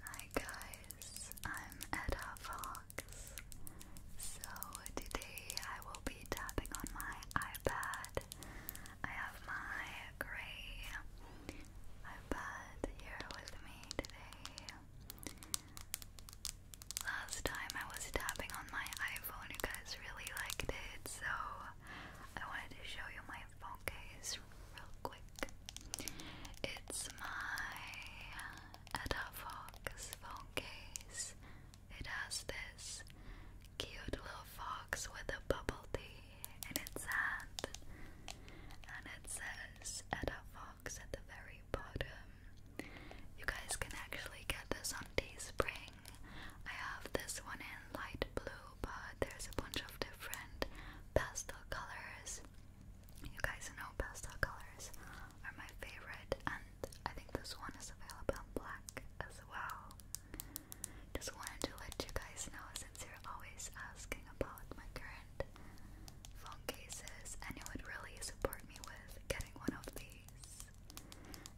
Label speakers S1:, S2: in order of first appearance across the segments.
S1: Hi guys, I'm Edda Fox. So today I will be tapping on my iPad. I have my grey iPad here with me today. Last time I was tapping on my iPhone, you guys really liked it, so I wanted to show you my phone case real quick. It's my Fox phone case. It has this cute little fox with a bubble tea in its hand, and it says Fox at the very bottom. You guys can actually get this on Teespring. I have this one in light blue, but there's a bunch of different pastel colors. You guys know pastel colors are my favorite, and I think this one is available in black as well. Just wanted to let you guys know since you're always asking about my current phone cases, and it would really support me with getting one of these.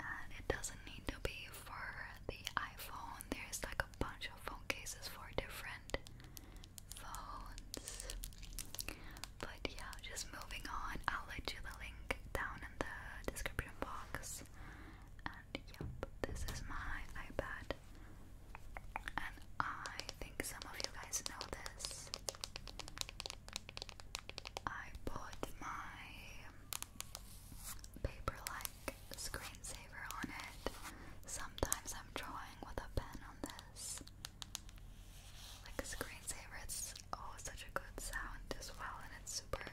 S1: And it doesn't need to be for the iPhone, there's like a bunch of phone cases for different phones. But yeah, just moving on, I'll let you the link down in the description box. And yep, this is my iPad. And I think some of you guys know this. I put my paper-like screensaver on it. Sometimes I'm drawing with a pen on this. Like a oh such a good sound as well, and it's super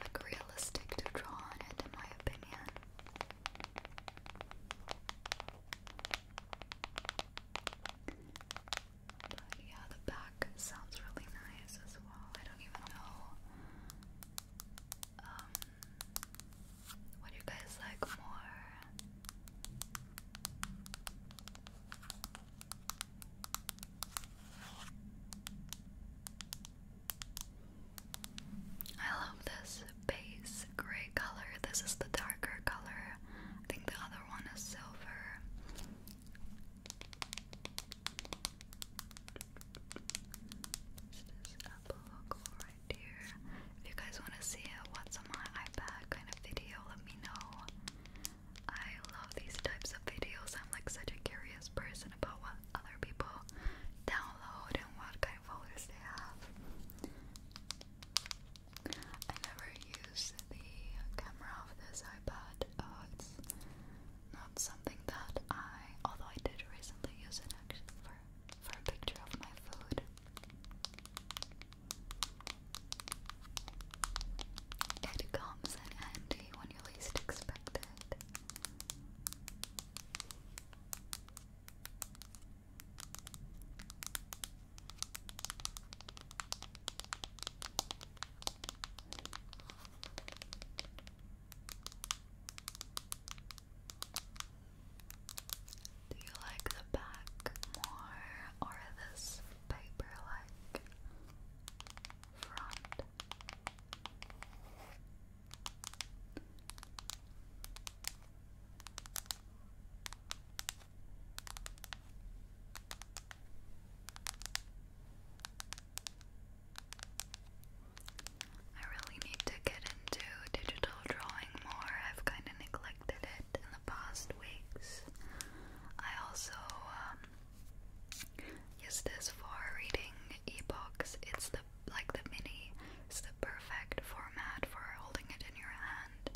S1: like realistic to draw on it, in my opinion. But yeah, the back sounds really nice as well. I don't even know um, what you guys like more. I love this base gray color. This is the darker color. I think the other one is silver. It's this Apple logo right here. If you guys want to see a what's on my iPad kind of video, let me know. I love these types of videos. I'm like such a curious person about what other people download and what kind of folders they have. I never use the camera of this iPad. Uh, it's not something that I, although I did recently use it actually for for a picture of my food. It comes in handy when you least expect it. Do you like the back more or this paper like front? I really need to get into digital drawing more. I've kind of neglected it in the past weeks. I also um, use this for reading e-books. It's the like the mini. It's the perfect format for holding it in your hand,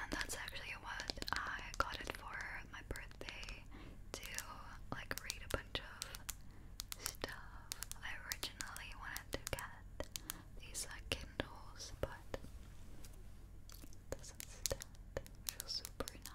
S1: and that's actually you what, I got it for my birthday to like read a bunch of stuff. I originally wanted to get these uh, Kindles, but instead feels super nice.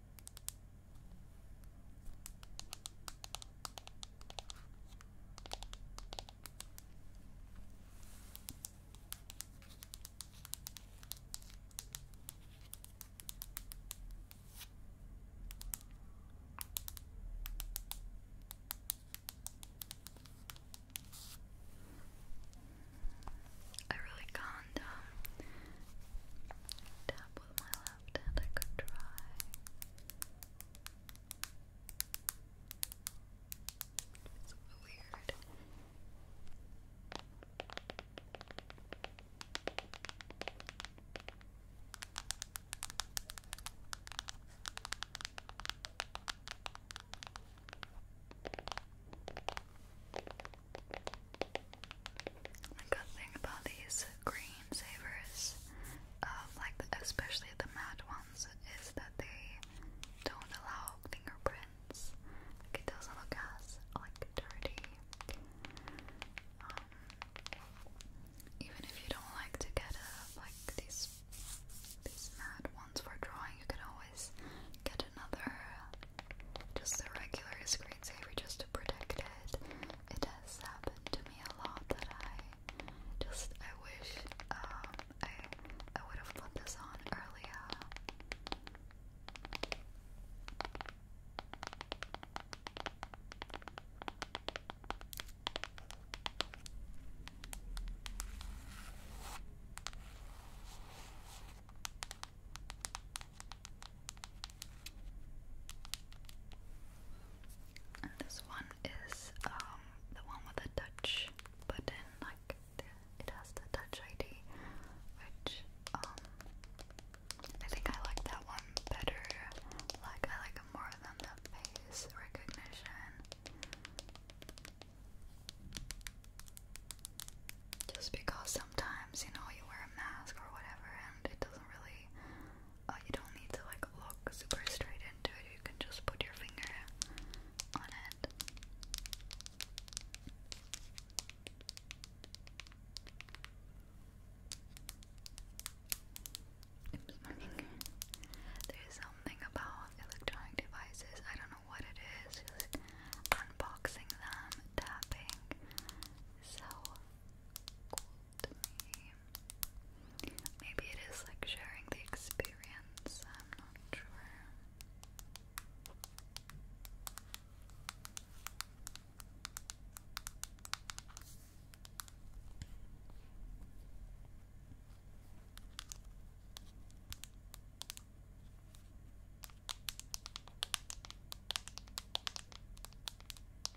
S1: I really can't um, tap with my left I could try. weird. The good thing about these screensavers, um, like especially the matte ones, is that they don't allow fingerprints. it doesn't look as like dirty. Um, even if you don't like to get like these these matte ones for drawing, you can always get another just a regular screensaver just to protect it it has happened to me a lot that I just I wish um I I would have put this on earlier this one is um, the one with the touch button, like it has the touch ID, which um, I think I like that one better. Like I like it more than the face recognition. Just because sometimes, you know, you wear a mask or whatever and it doesn't really basically oh, you don't need to like look super straight into it, you can just put your finger on it. my finger. There's something about electronic devices, I don't know what it is, unboxing them, tapping. So cool to me. Maybe it is like sharing the experience, I'm not sure.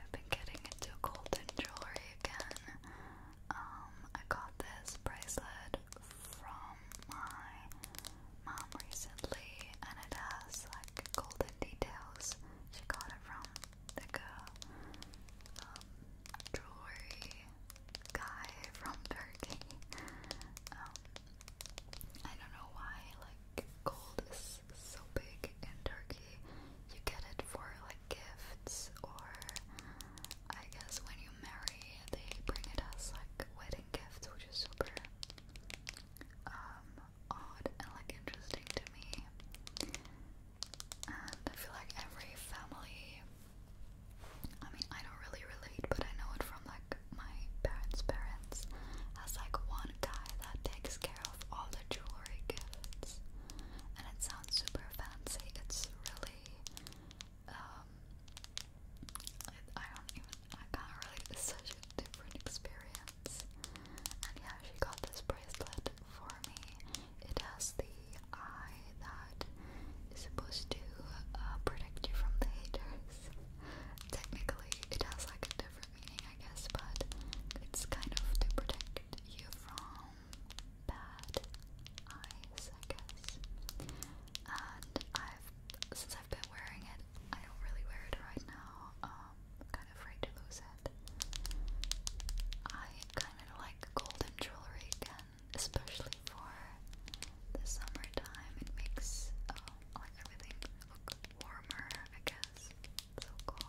S1: I've been getting into golden jewelry again. Um, I got this bracelet from my mom recently and it has like golden details. She got it from the um, jewelry guy from Turkey. Um, I don't know why like gold is so big in Turkey. You get it for like gifts or I guess when you you they bring it as like wedding gifts, which is super um, odd and like interesting to me. And I feel like every family I mean I don't really relate but I know it from like my parents' parents as like one guy that takes care of all the jewelry gifts. And it sounds super fancy. It's really um, it, I don't even, I can't relate, it's such a different experience. And yeah, she got this bracelet for me. It has the eye that is supposed to uh, protect you from the haters. Technically, it has like a different meaning, I guess, but it's kind of to protect you from bad eyes, I guess. And I've since I've been wearing it, I don't really wear it right now. Um, I'm kind of afraid to lose it. I kind of like golden jewelry again, especially for the summertime. It makes uh, like everything look warmer, I guess. so cool.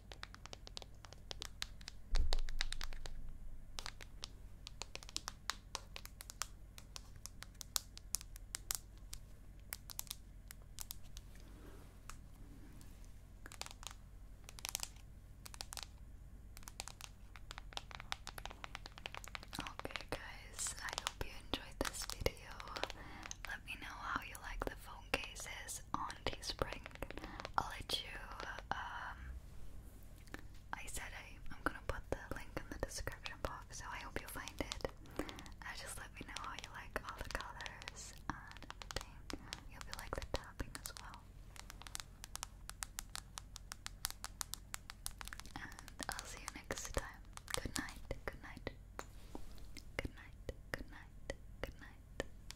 S1: Okay, guys, I hope you enjoyed this video. Let me know how you like the phone cases is on Teespring. I'll let you, um, I said I, am gonna put the link in the description box, so I hope you find it. Uh, just let me know how you like all the colors and You'll be like the tapping as well. I'll see you next time. Good night, good night. Good night, good night, good night.